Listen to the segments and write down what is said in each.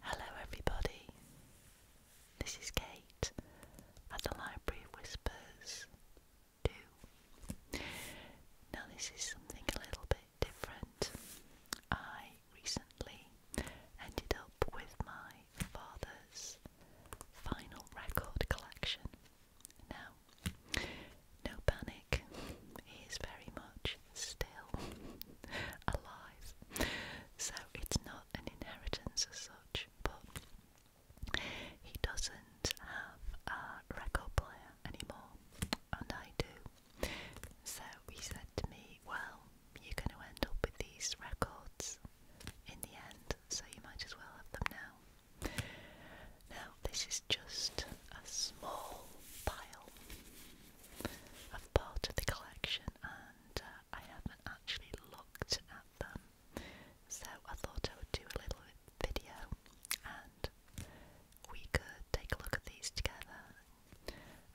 Hello, everybody. This is Kate at the Library of Whispers 2. Now, this is something a little bit different. I recently ended up with my father's final record collection. Now, no panic, he very much still alive, so it's not an inheritance as such, but he doesn't have a record player anymore, and I do. So he said to me, Well, you're going to end up with these records in the end, so you might as well have them now. Now, this is just a small pile of part of the collection, and uh, I haven't actually looked at them, so I thought I would do a little video and we could take a look at these together.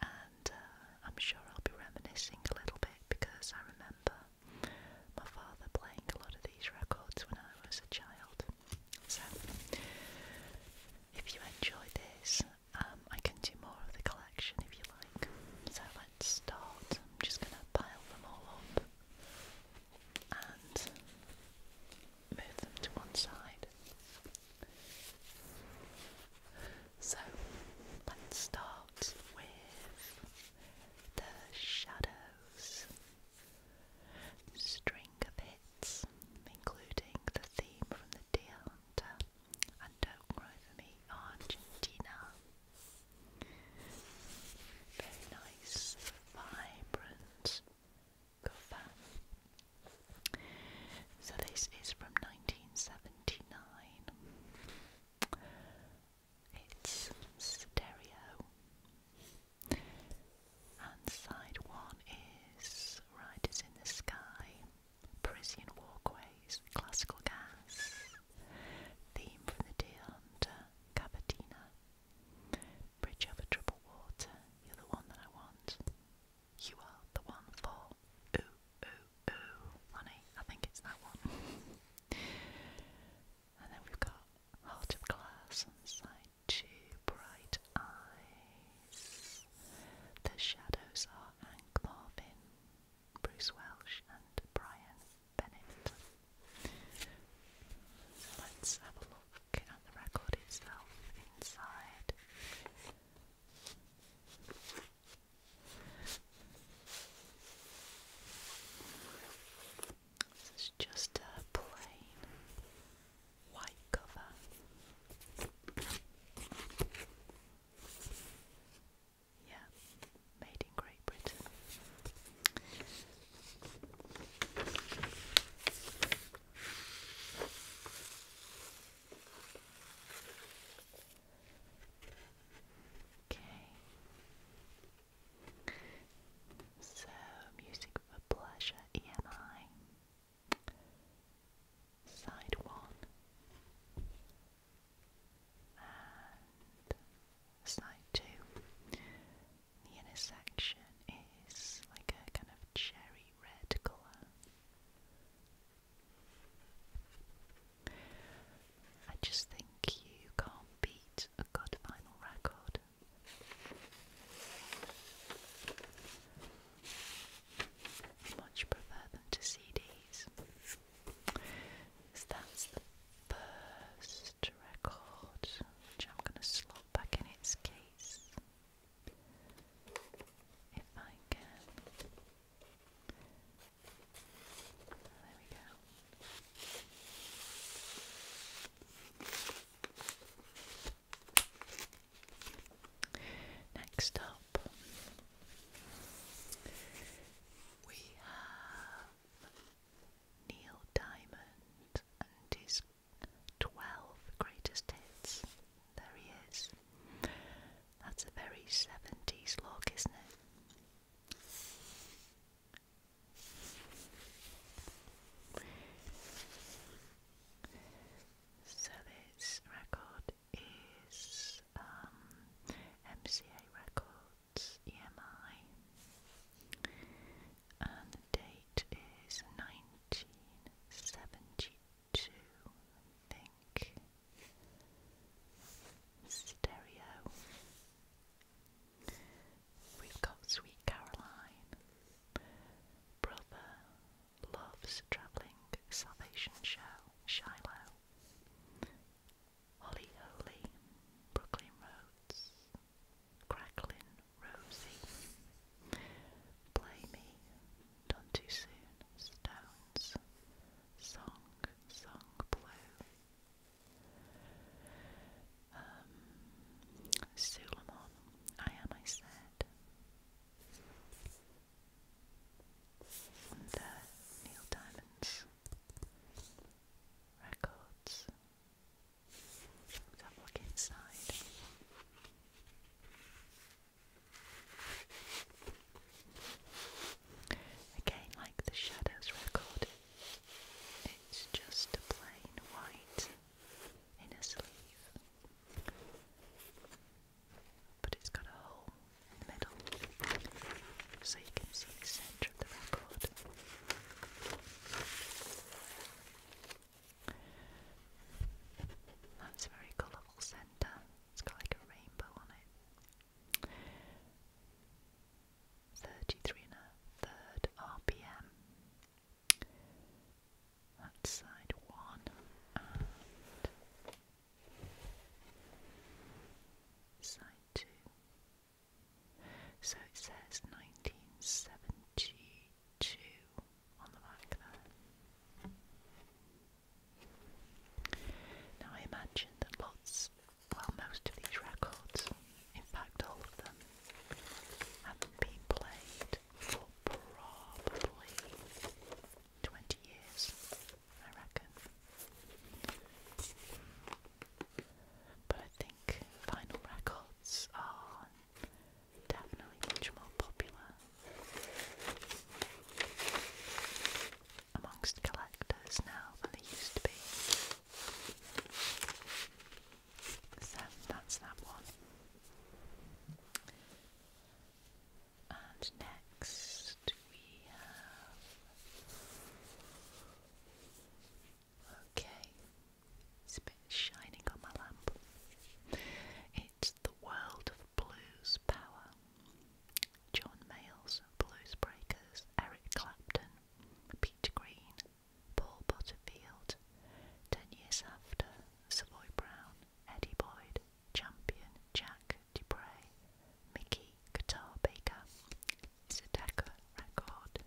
And uh, I'm sure I'll be reminiscing a little bit because I remember my father playing a lot of these records when I was a child. So, if you enjoy this, um, I can do more of the collection if you like. So let's start. I'm just going to pile them all up and move them to one side. So let's start with the shadows. String of hits, including the theme from The Deer Hunter and Don't Cry For Me, Argentina. Very nice, vibrant cover. So this is from 1979. It's stereo. And side one is Riders in the Sky, Parisian Walkways, Classical Gas, Theme from the Deer Hunter, Cavatina, Bridge over Troubled Water, you're the one that I want. You are the one for ooh, ooh, ooh, honey. I think it's that one. and then we've got Heart of Glass on side two bright eyes. The shadows are Hank Marvin, Bruce Welsh, and Brian Bennett. let's have a look at the record itself inside. This is just a plain white cover. Yeah, made in Great Britain. Okay. So, Music for Pleasure EMI, Side 1, and Side 2. The inner is like a kind of cherry red colour. I just think you can't beat a good vinyl record. Much prefer them to CDs. So that's the first record, which I'm going to slot back in its case if I can. There we go. Next up, we have Neil Diamond and his 12 greatest hits. There he is. That's a very 70s look, isn't it? So this record is MCA um, Records EMI, and the date is nineteen seventy-two, think. Stereo. We've got Sweet Caroline. Brother Loves Travelling Salvation Show, Shiloh. Holly Holy, Brooklyn Roads, Cracklin' Rosie. Play Me, Done Too Soon, Stones. Song, Song Blue um, Suleiman. I am, I said. Uh, Neil Diamond's records. have a look inside. Again, like the Shadows record, it's just plain white in a sleeve. But it's got a hole in the middle, so you can see the centre of the record. That's a very colourful centre. It's got like a rainbow on it. 33 and a third RPM side one side two. So it says 1972 on the back there. Now I imagine that lots, well, most of these records in fact, all of them haven't been played for probably 20 years, I reckon. But I think vinyl records are definitely much more popular amongst collectors now than they used to be. So that's that one. And next we have. Okay, it's a bit shining on my lamp. It's The World of Blues Power. John Mayles, Blues Breakers, Eric Clapton, Peter Green, Paul Butterfield. Ten years after, Savoy Brown, Eddie Boyd, Champion, Jack Dupre, Mickey Guitar Baker. It's a Decca record.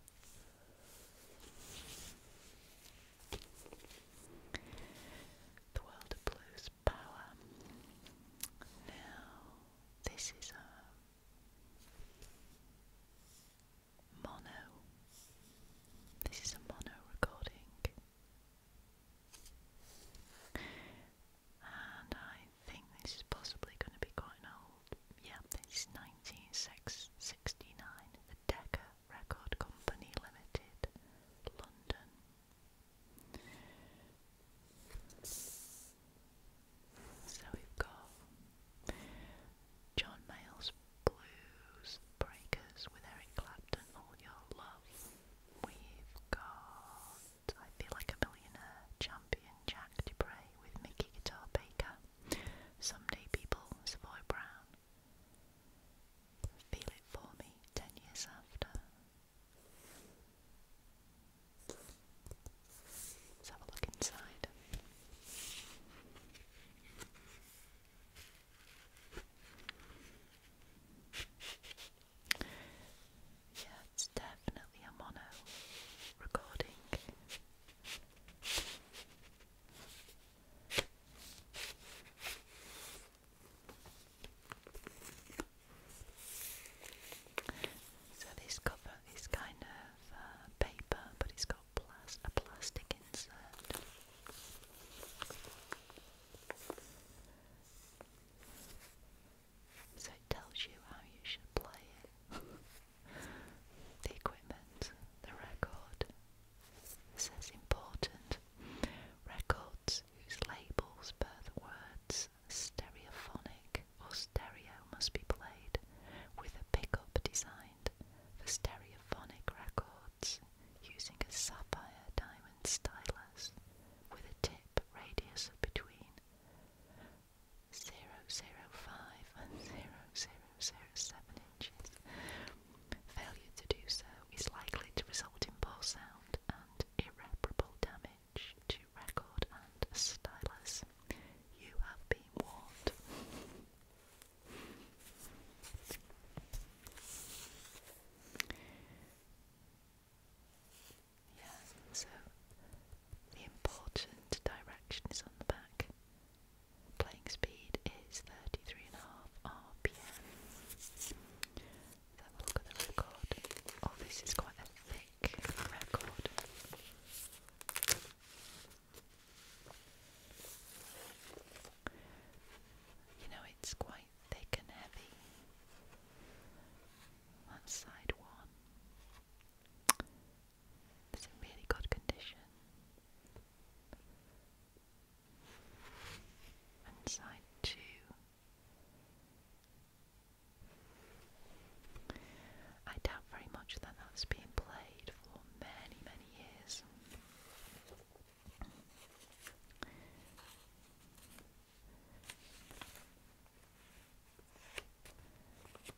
The World of Blues Power. Now, this is a um, mono. This is a mono recording. And I think this is possibly going to be quite old. Yeah, this is 1969. The Decca Record Company Limited, London. So we've got John Mayall's Blues Breakers with Eric Clapton, All Your Love. We've got I Feel Like a Millionaire, Champion Jack Dupre with Mickey Guitar Baker, Someday People, Savoy Brown, Feel It For Me, Ten Years After. Let's have a look inside. Yeah, it's definitely a mono recording. So this cover is kind of uh, paper, but it's got got a plastic insert. So it tells you how you should play the equipment, the record. This important. Records whose labels bear the words stereophonic or stereo must be played with a pickup design for stereophonic records using a sapphire diamond stylus with a tip radius of between 0.05 and 0007 inches. Failure to do so is likely to result in poor sound and irreparable damage to record and stylus. You have been warned. Yeah, so the important direction is on the back. Playing speed is 33.5 RPM. Let's look at the record. Oh, this is quite a thick record. You know, it's quite thick and heavy. That's side one. It's in really good condition. And side two. I doubt very much that that's been played for many, many years.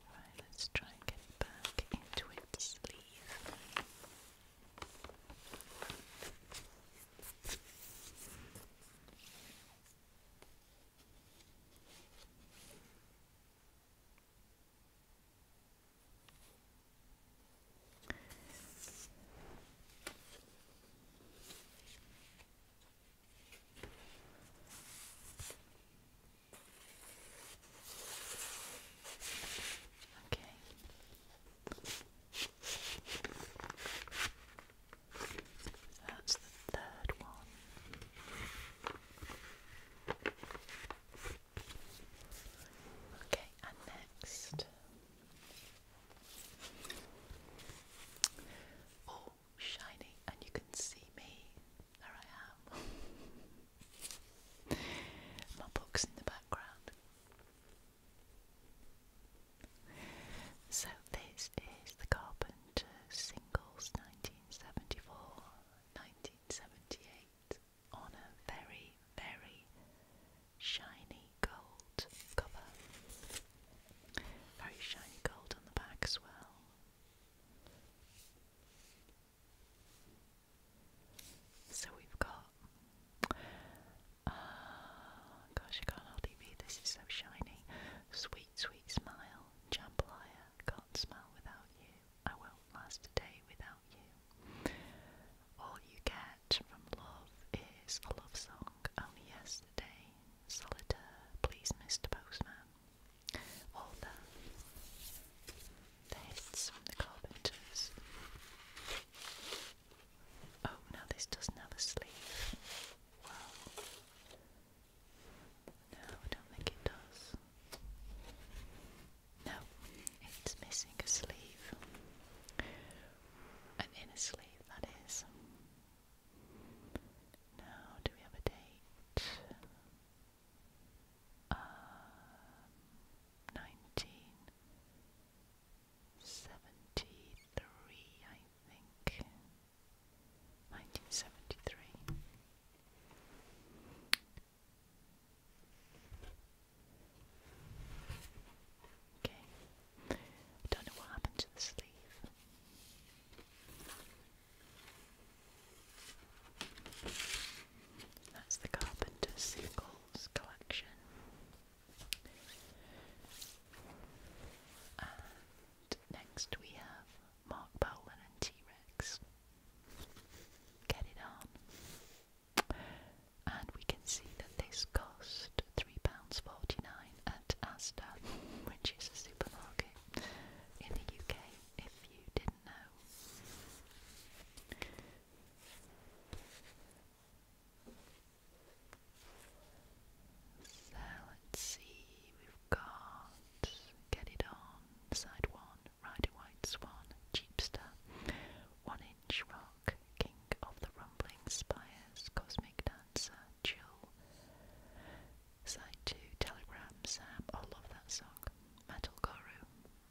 Right, let's try and get back into its sleeve. Okay. That's the third one. Okay, and next. Oh, shiny, and you can see me. There I am. My book's in the background. So, this is the Carpenter Singles 1974, 1978 on a very, very shiny gold cover. Very shiny gold on the back as well. So we've got. Ah, gosh, I can't hardly read this, it's so shiny. Sweet, sweet smile, jambalaya, can't smile without you. I will last a day without you. All you get from love is a love song. Only yesterday, solitaire, please, Mr. Postman. Author. The hits from the carpenters. Oh, now this doesn't have a sleeve. Well, no, I don't think it does. No, it's missing a sleeve. An inner sleeve, that is. Now, do we have a date? Um, uh, 1973, I think. 1973. Okay. don't know what happened to the sleeve. That's the Carpenter Singles collection. And next we have Mark Bowlin and T Rex get it on. And we can see that this cost £3.49 at Asda, which is a supermarket in the UK, if you didn't know. So let's see, we've got Get It On, side one, Ride White Swan, Cheapster, One Inch Rock, King of the Rumbling Spires, Cosmic Dancer, Chill, Side 2, Telegram, Sam, I love that song, Metal Guru,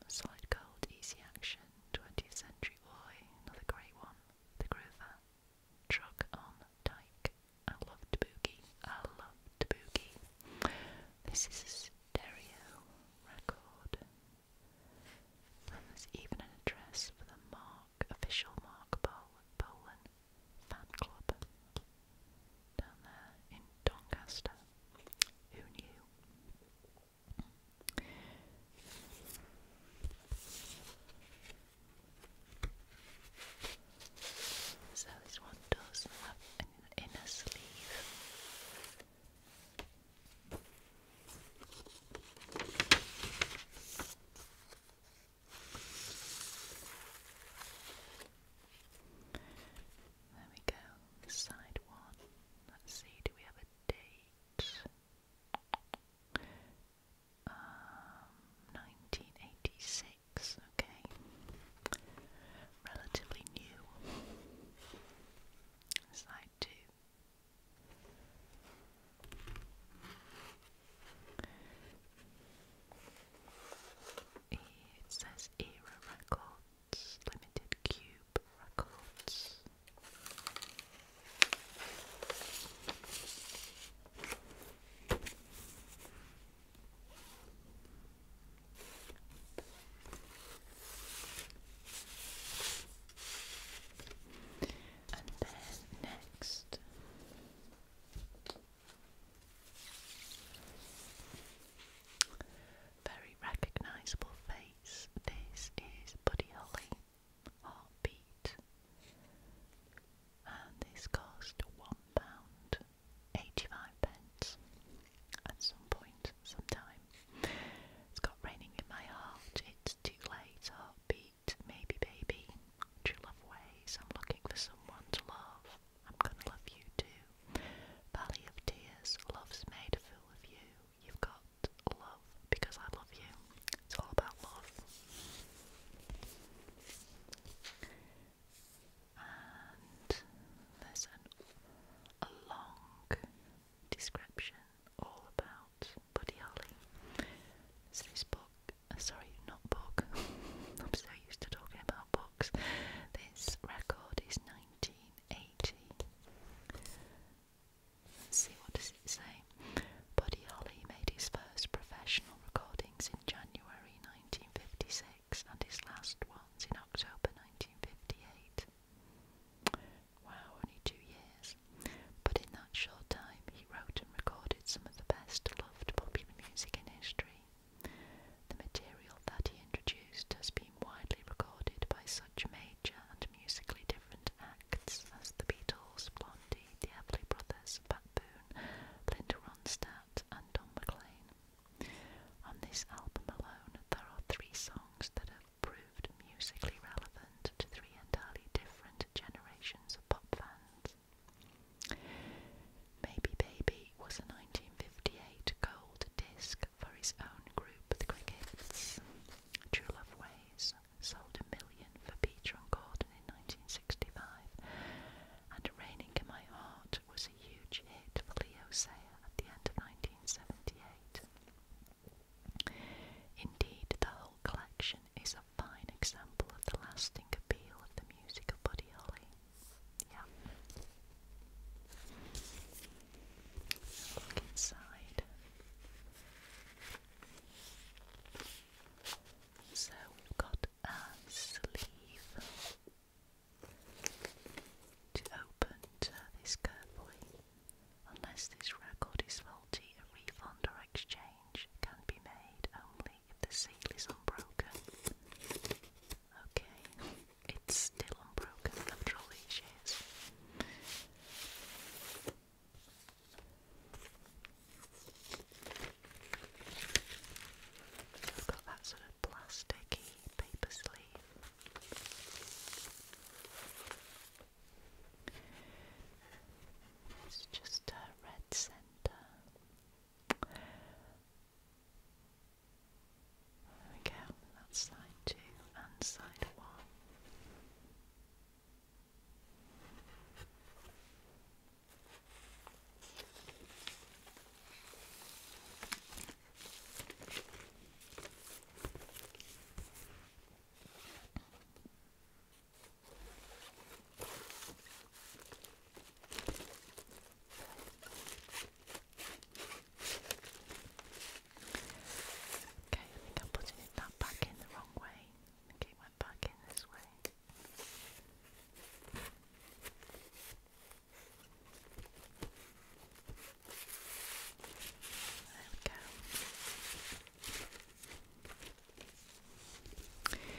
Solid Gold, Easy Action, 20th Century Boy, another great one, The Groover, Truck on Dyke, I loved Boogie, I loved Tabuki. This is a stereo record. there's even an address for the Mark, official Mark Bolan fan club down there in Doncaster. Who knew? So this one does have in a sleeve. There we go, side one. Let's see, do we have a date? Um, 1986, okay relatively new. Slide two. It says Era Records, Limited Cube Records. And then next, very recognisable face. This is Buddy Holly, Heartbeat, and this cost one pound. 85 pence at some point, sometime. It's got Raining in My Heart, It's Too Late, Heartbeat, Maybe Baby, True Love Ways, I'm Looking for Someone to Love, I'm Gonna Love You Too, Valley of Tears, Love's Made a Fool of You, You've Got Love Because I Love You. It's all about love and there's an, a long description all about Buddy Holly. It's this book, uh, sorry, not book, I'm so used to talking about books. This record is 1980. Let's see what does it say. Buddy Holly made his first professional recordings in January 1956 and his last ones in October 1958. Wow, only two years. But in that short time, he wrote and recorded some of the best loved popular music in history. The material that he introduced has been widely recorded by such major and musically different acts as the Beatles, Blondie, the Everly Brothers, Pat Boone, Linda Ronstadt, and Don McLean. On this album alone, there are three songs that have proved musically relevant to three entirely different generations of pop fans. Maybe Baby was a 1958 gold disc for his own group, The Crickets. True Love Ways sold a million for Peter and Gordon in 1965, and Raining in My Heart was a huge hit for Leo Sayer at the end of 1978. Indeed, the whole collection is a fine example of the lasting appeal of the music of Holly. Look inside. So we've got a sleeve to open this carefully, unless this record is faulty, a refund or exchange can be made only if the seal is unbroken. Okay, it's still unbroken after all these years. got that sort of plasticky paper sleeve it's just a red centre. There we go, that's side two and side one. Okay, I think I'm putting it back in the wrong way. I think it went back in this way. There we go. And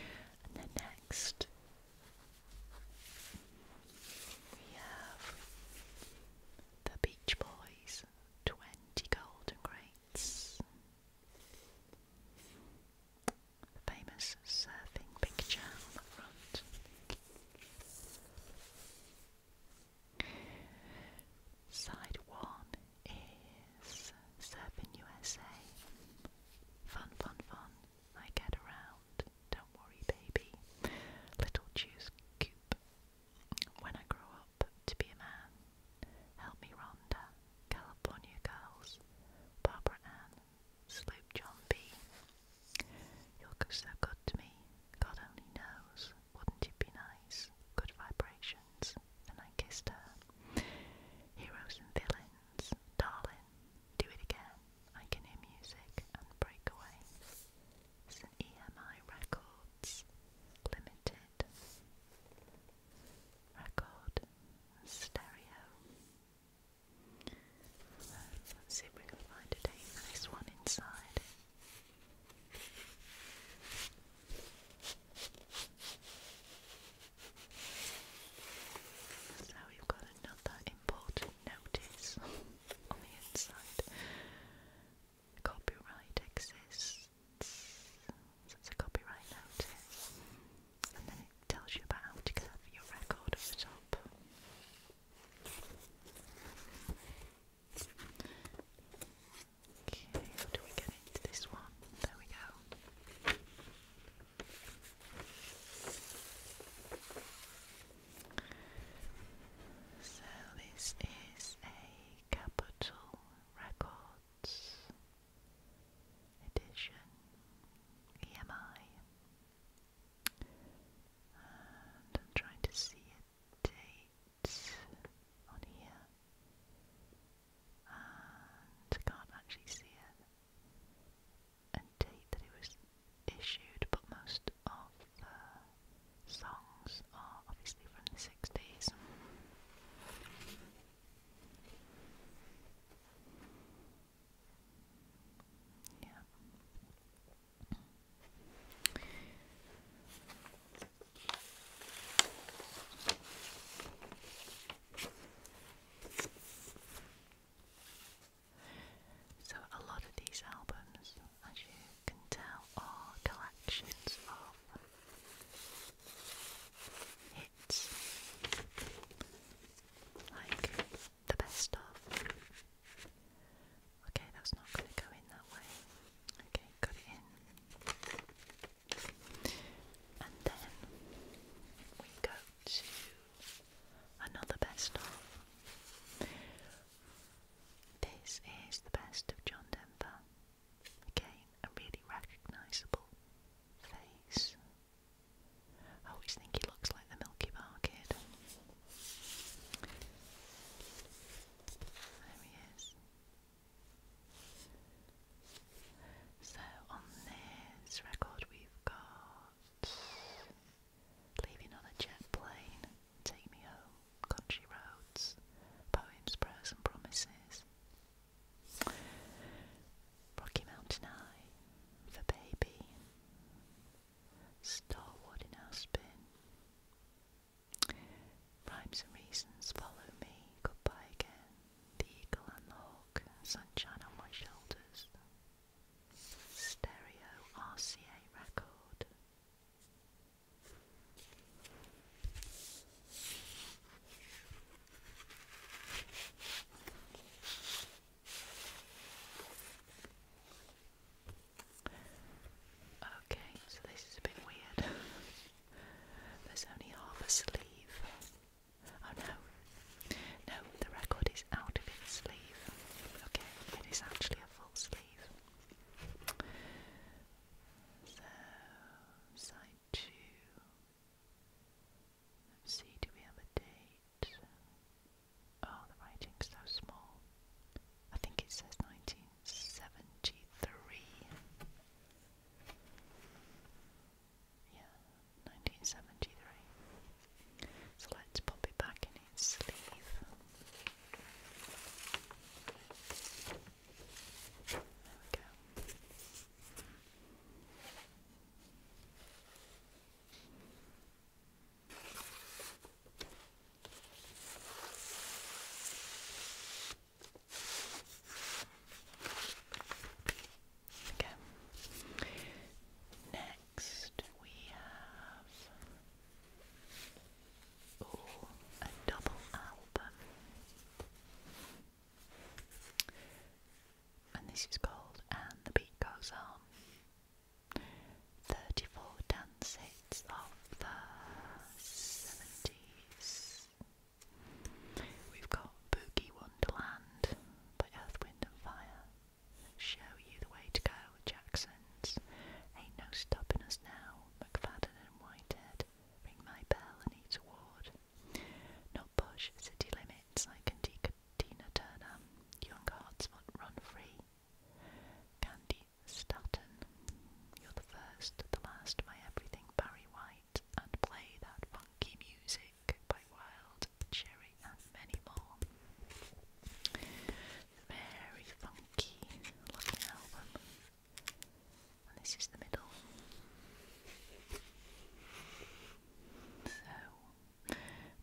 then next we have the Beach Boys 20 Golden Grains, famous surfing picture on the front. Side one is surfing USA. Fun, fun, fun. I get around. Don't worry, baby. Little juice coop. When I grow up to be a man, help me, Rhonda. California girls, Barbara Ann, Sloop John B. You're so good to me, God only knows. Wouldn't it be nice? Good vibrations. And I kissed her. Heroes and villains, darling. Do it again. I can hear music and breakaway. It's EMI Records Limited record stereo. Let's see if we can find a date one inside. So we've got another important notice on the inside. Copyright exists. So a copyright notice. And then it tells you about how to get your record at the top. Okay, how do we get into this one? There we go. So this is a Capital Records edition EMI. And I'm trying to see a on here. And can't actually see a, a date that it was issued, but most of the songs are obviously from the 60s. Yeah. So, a lot of these albums, as you can tell, are collections of hits like the best of. Okay, that's not going to go in that way. Okay, got it in. And then we go to another best of. This is the best of John Denver. Again, a really recognisable face. I always think he looks like the Milky Bar kid. There he is. So on this record we've got Leaving on a Jet Plane, Take Me Home, Country Roads, Poems, Prayers Promises, Rocky Mountain High, For Baby, Starward in Aspen. Rhymes and reasons follow me. Goodbye again. The eagle and the hawk. Sunshine on my shoulders. Stereo RCA record. Okay, so this is a bit weird. There's only half a sleeve. Oh no. No, the record is out of its sleeve. Okay, it is actually a full sleeve. So, side 2 see, do we have a date? Oh, the writing's so small. I think it says 1973. Yeah, 1973. So let's pop it back in its sleeve. There we go. Okay. Next we have a double album. And this is called And the Beat Goes On. 34 dance of the 70s. We've got Boogie Wonderland by Earth, Wind and Fire. Show You the Way to Go, Jackson's. Ain't No Stopping Us Now, McFadden and Whitehead. Ring My Bell and Eat Ward. Not Push, City Limits, I Can Tina Turner. Young Hearts Run Free. Candy Staton. You're the first, the last, my everything, Barry White, and play that funky music by Wild Cherry and many more. Very funky looking album. this is the middle. So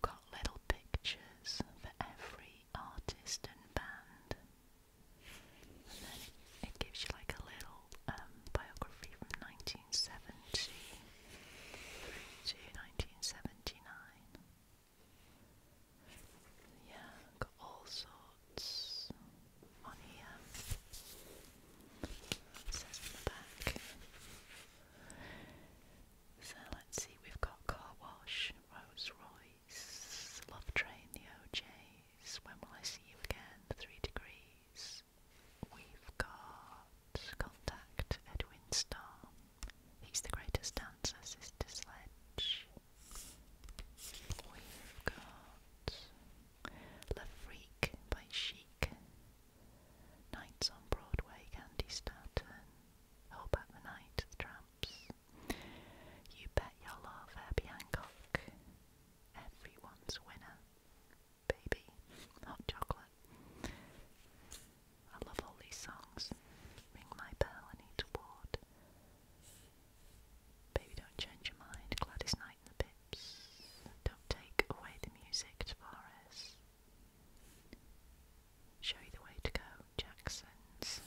Got little pictures for every artist and band. And then it, gives you like a little um, biography from 1970 to 1979. Yeah, got all sorts on here. says back. So let's see, we've got Car Wash, Rolls Royce, Love Train, the OJs, When Will I See You Again, Three Degrees. We've got Contact, Edwin Starr. He's the greatest dancer, Sister Sledge. We've got La Freak by Chic. Nights on Broadway, Candy Stanton. All About the Night, The Tramps, You Bet Your Love, Herbie Hancock, Everyone's Winner, Baby, Hot Chocolate. I love all these songs. Ring My Bell, Anita Ward, Baby Don't Change Your Mind, Gladys Knight and the Pips, Don't Take Away the Music, Tavares, Show You the Way to Go, Jackson's,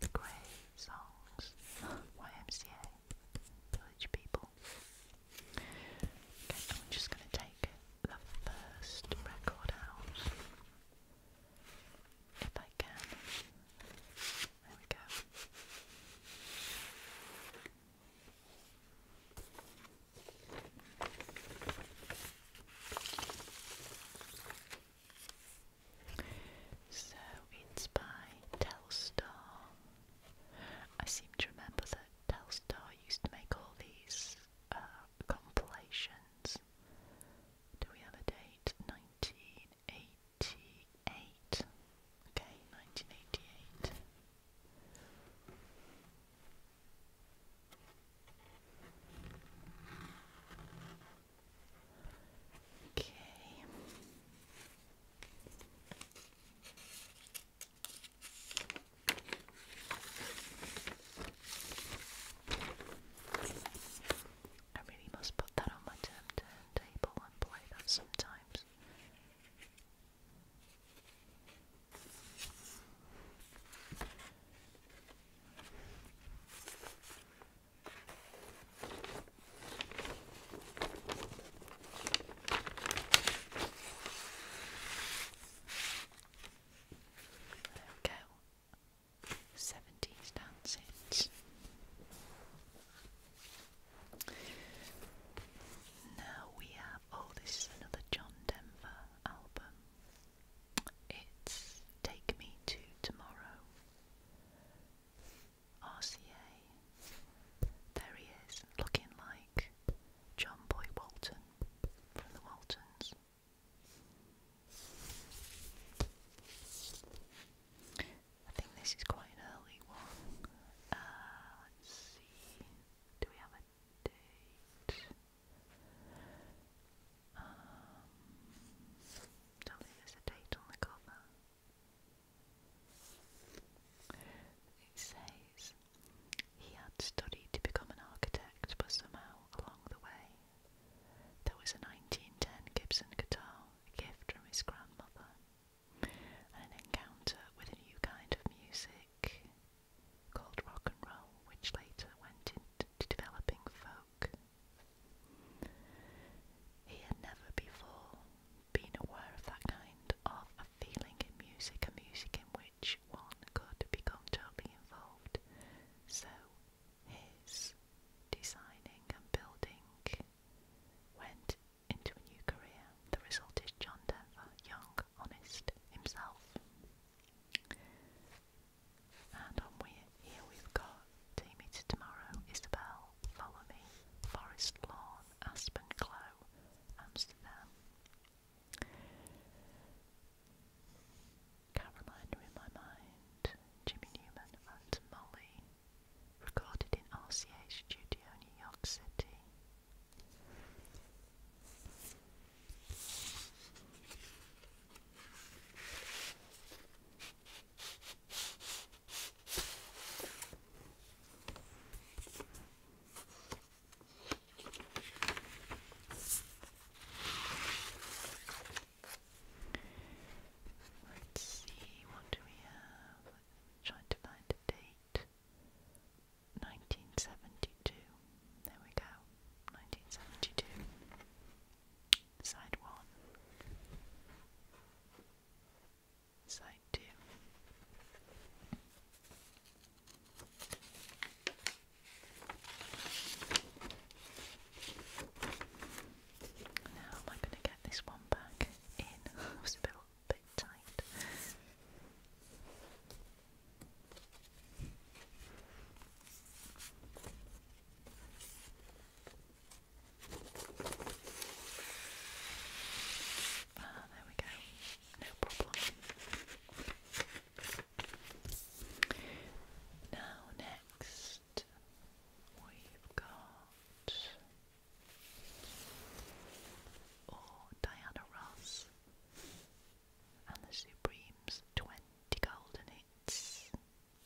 The Grey Songs, YMCA, Village People. Okay, I'm just going to take the first record out. If I can. There we go. So it's by Telstar. I seem to remember that Telstar used to make all these uh, compilations. Do we have a date? 1988. Okay, 1988. Okay. I really must put that on my turntable and play that sometimes go. Seventies dances. Now we have oh, this is another John Denver album. It's Take Me to Tomorrow. RCA. There he is, looking like John Boy Walton from the Waltons. I think this is quite an early one. Uh, let's see. Do we have a date? Um, don't on the cover. It says he had studied to become an architect, but somehow along the way there was a 1910 Gibson guitar, a gift from his grandmother, an encounter with a new kind of music called rock and roll, which later went into developing folk. He had never before been aware of that kind of a feeling in music, a music in which one could become totally involved. So his designing and building went into a new career. The result is John Denver, young, honest, himself. And on here we've got Team Meter Tomorrow, Isabel, Follow Me, Forest Lawn, Aspen Glow, Amsterdam. Caroline in my mind, Jimmy Newman and Molly, recorded in RCA Studio, New York City. Let's see, what do we have? trying to find a date. 1970 1972. There we go. 1972. Side 1. Side 2. Now, am I going to get this one back in? was a bit, bit tight. Ah, there we go. No problem. Now, next, we've got. Oh, Diana Ross and the Supremes 20 Golden Hits.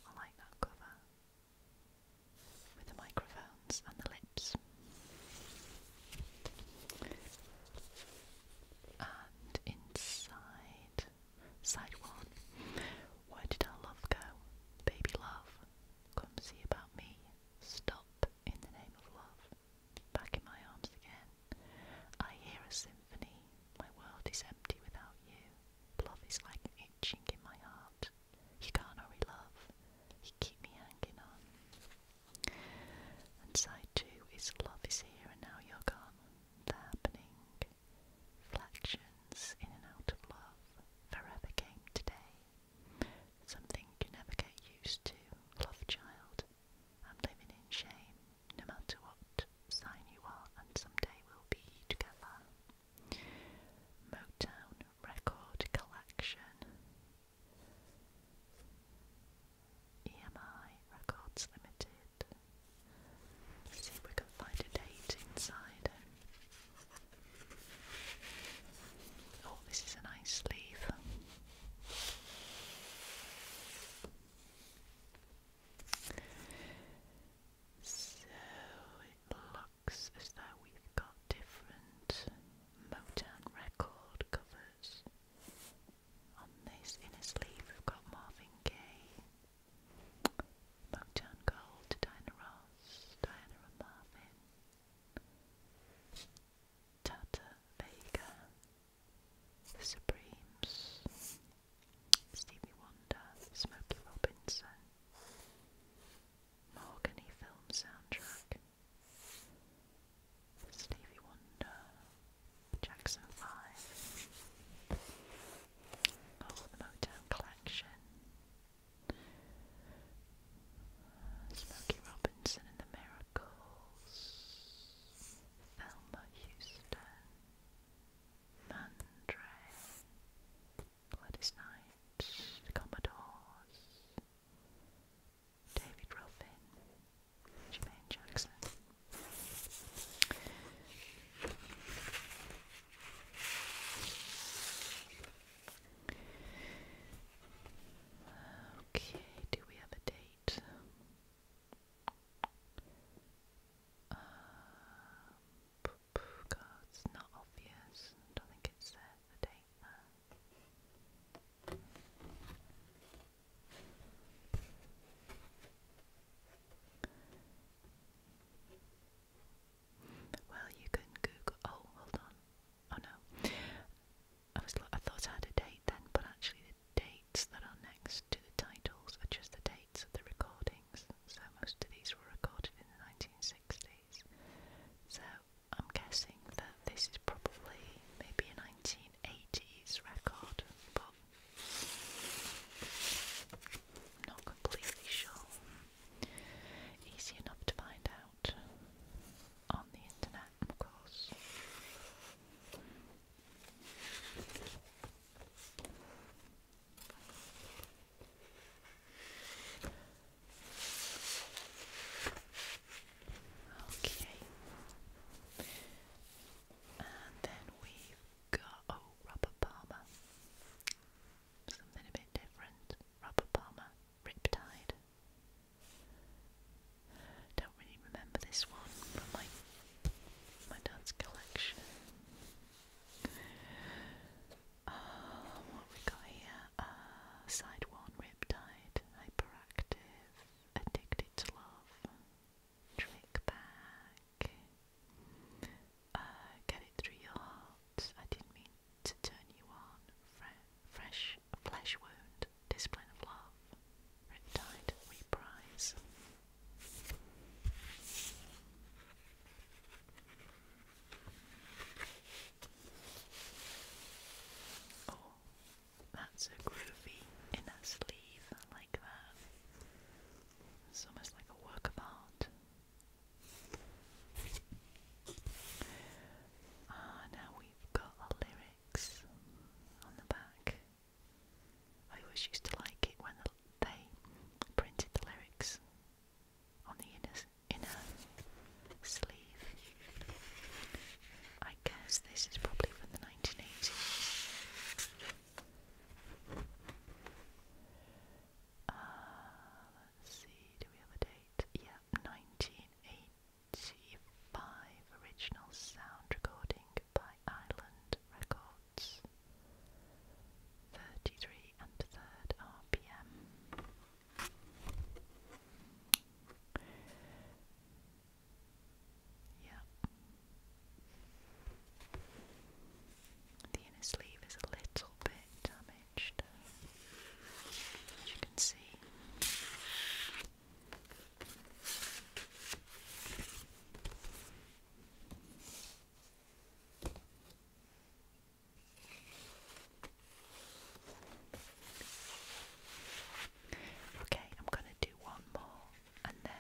I like that cover with the microphones and the lips. And inside, side one, where did our love go? Baby love, come see about me. Stop in the name of love. Back in my arms again. I hear a symphony, my world is empty without you. Love is like itching in my heart. You can't hurry love, you keep me hanging on. And side two is love is here and now you're gone. The happening, reflections in and out of love, forever came today. Something you never get used to, love child. I'm living in shame no matter what sign you are, and someday we'll be together. Motown Record Collection, EMI Records Limited. Let's see if we can find a date inside. Oh, this is a nice sleeve. So it looks as though we've got different Motown record covers. On this inner sleeve we've got Marvin Gaye, Motown Gold, Diana Ross, Diana and Marvin, Tata Vega, the Supremes, Stevie Wonder, Smokey Robinson, Mahogany film soundtrack, Stevie Wonder, Jackson 5, the Motown Collection, Smokey Robinson and the Miracles, Thelma Houston, Mandray, Gladys Knight, Commodores, David Ruffin, Jermaine Jackson. Okay, do we have a date? Um, God, it's not obvious. I don't think it the date Well, you can Google. Oh, hold on. Oh no, I was. I thought I had a date then, but actually the dates that are next to the titles are just the dates of the recordings, so most of these were recorded in the 1960s. So I'm guessing that this is probably maybe a 1980s record, but I'm not completely sure. Easy enough to find out on the internet, of course. Okay. And then we've got oh rubber palmer. Something a bit different. Rubber palmer. Riptide. Don't really remember this one from my my dad's collection. Um, what we got here? Uh, Sideworn Riptide, Hyperactive, Addicted to Love, Trick Back, uh, Get It Through Your Heart, I Didn't Mean to Turn You On, Fresh Flesh Wound, Discipline of Love, Riptide Reprise. Oh, that's a groovy inner sleeve like that. It's almost like a work of art. Ah, now we've got the lyrics on the back. I always used to like it when they printed the lyrics on the inner, inner sleeve. I guess this is probably from the 1980s. Uh, let's see, do we have a date? Yeah, 1985 original sound recording by Island Records. 33 and third RPM. Yeah. The inner sleeve is a little bit damaged, as you can see. Okay, I'm going to do one more, and then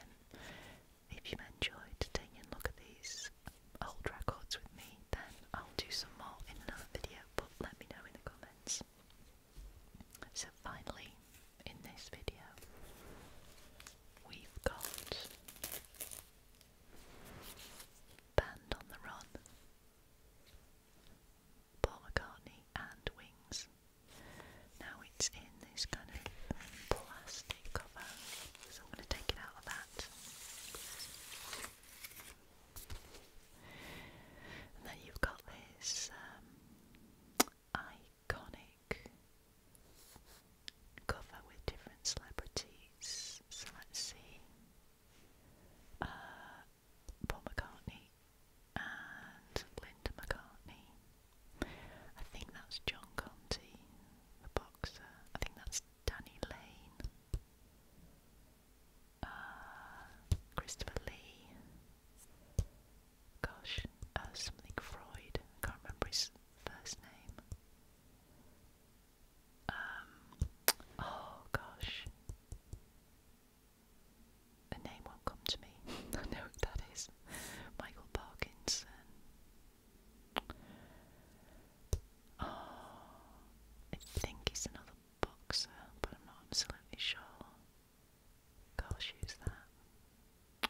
if you enjoyed taking a look at these old records with me, then I'll do some more in another video, but let me know in the comments. So, finally, in this video we've got Band on the Run, Paul McCartney and Wings. Now it's in this kind of plastic cover, so I'm going to take it out of that. And then you've got this um, iconic cover with different celebrities. let's see. Uh, Paul McCartney and Linda McCartney. I think that's John Conti, the boxer. I think that's Danny Lane. Uh, Christopher Lee. Gosh, uh, something Freud. I can't remember his first name. Um, oh gosh, the name won't come to me. I that is. Michael Parkinson. Oh, I think he's another boxer, but I'm not absolutely sure. Gosh, who's that?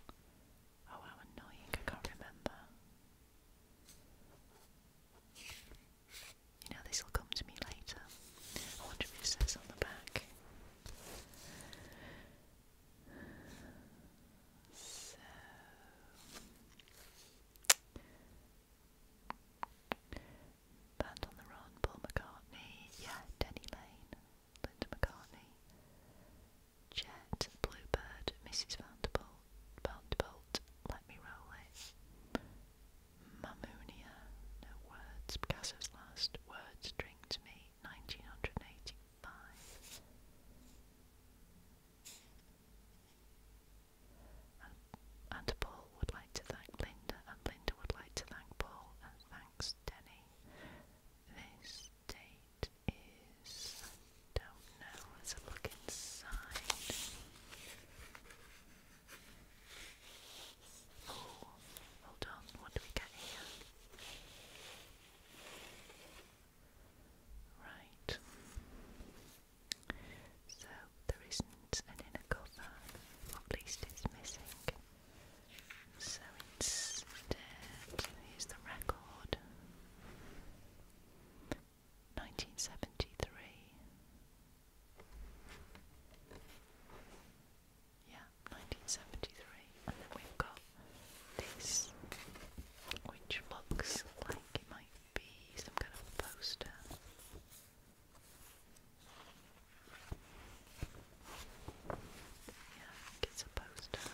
Oh, how annoying, I can't remember. You know, this will come to me later. I wonder if says on the back. So. Band on the Run, Paul McCartney, yeah, Denny Lane. Linda McCartney, Jet, Bluebird, Mrs. Vanderbilt, Vanderbilt, Let Me Roll It, Mammonia, No Words, Picasso's Last Words, Drink to Me, 1985. and Paul would like to thank Linda, and Linda would like to thank Paul, and thanks Denny. This day is. I don't know. Let's look inside. Oh, hold on. What do we get here? Right. So there isn't an inner cover, at least it's missing. So instead, here's the record. 1973. Yeah, 1973. And then we've got this, which looks like it might be some kind of poster. Yeah, it's a poster.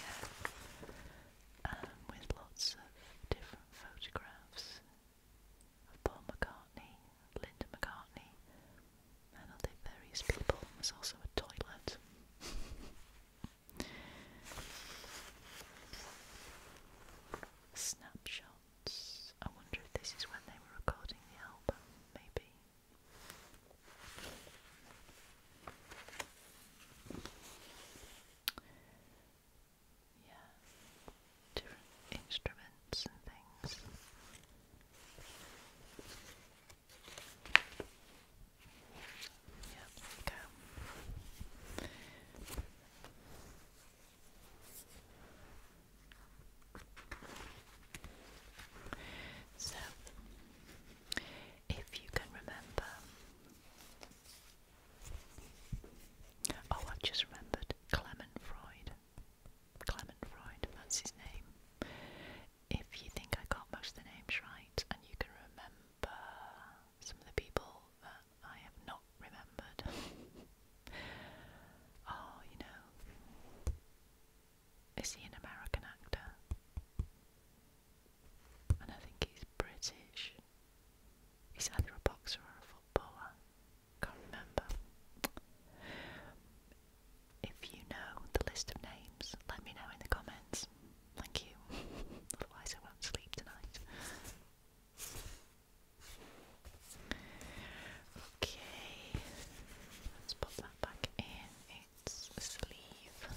Yeah, um, with lots of different photographs of Paul McCartney, Linda McCartney, and other various people. There's also a toilet snapshots. I wonder if this is when they were recording the album, maybe. Yeah, different instruments and things. Yeah, there we so, if you can remember, oh, i just remembered Clement Freud. Clement Freud, that's his name. If you think I got most of the names right and you can remember some of the people, uh, I have not remembered. oh, you know. Is he an American actor? And I think he's British. He's either a boxer or a footballer. Can't remember. If you know the list of names, let me know in the comments. Thank you. Otherwise, I won't sleep tonight. Okay, let's pop that back in its sleeve.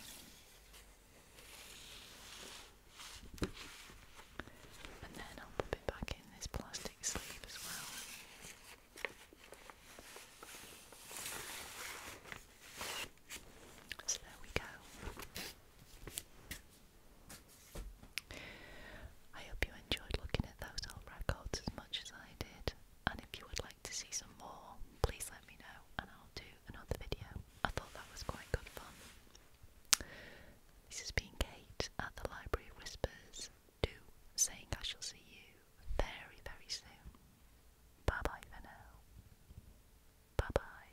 And then I'll pop it back in this plastic sleeve as well. So there we go. I hope you enjoyed looking at those old records as much as I did, and if you would like to see some more, please let me know and I'll do another video. I thought that was quite good fun. This has been Kate at the Library Whispers, saying I shall see you very, very soon. Bye bye for now. Bye bye.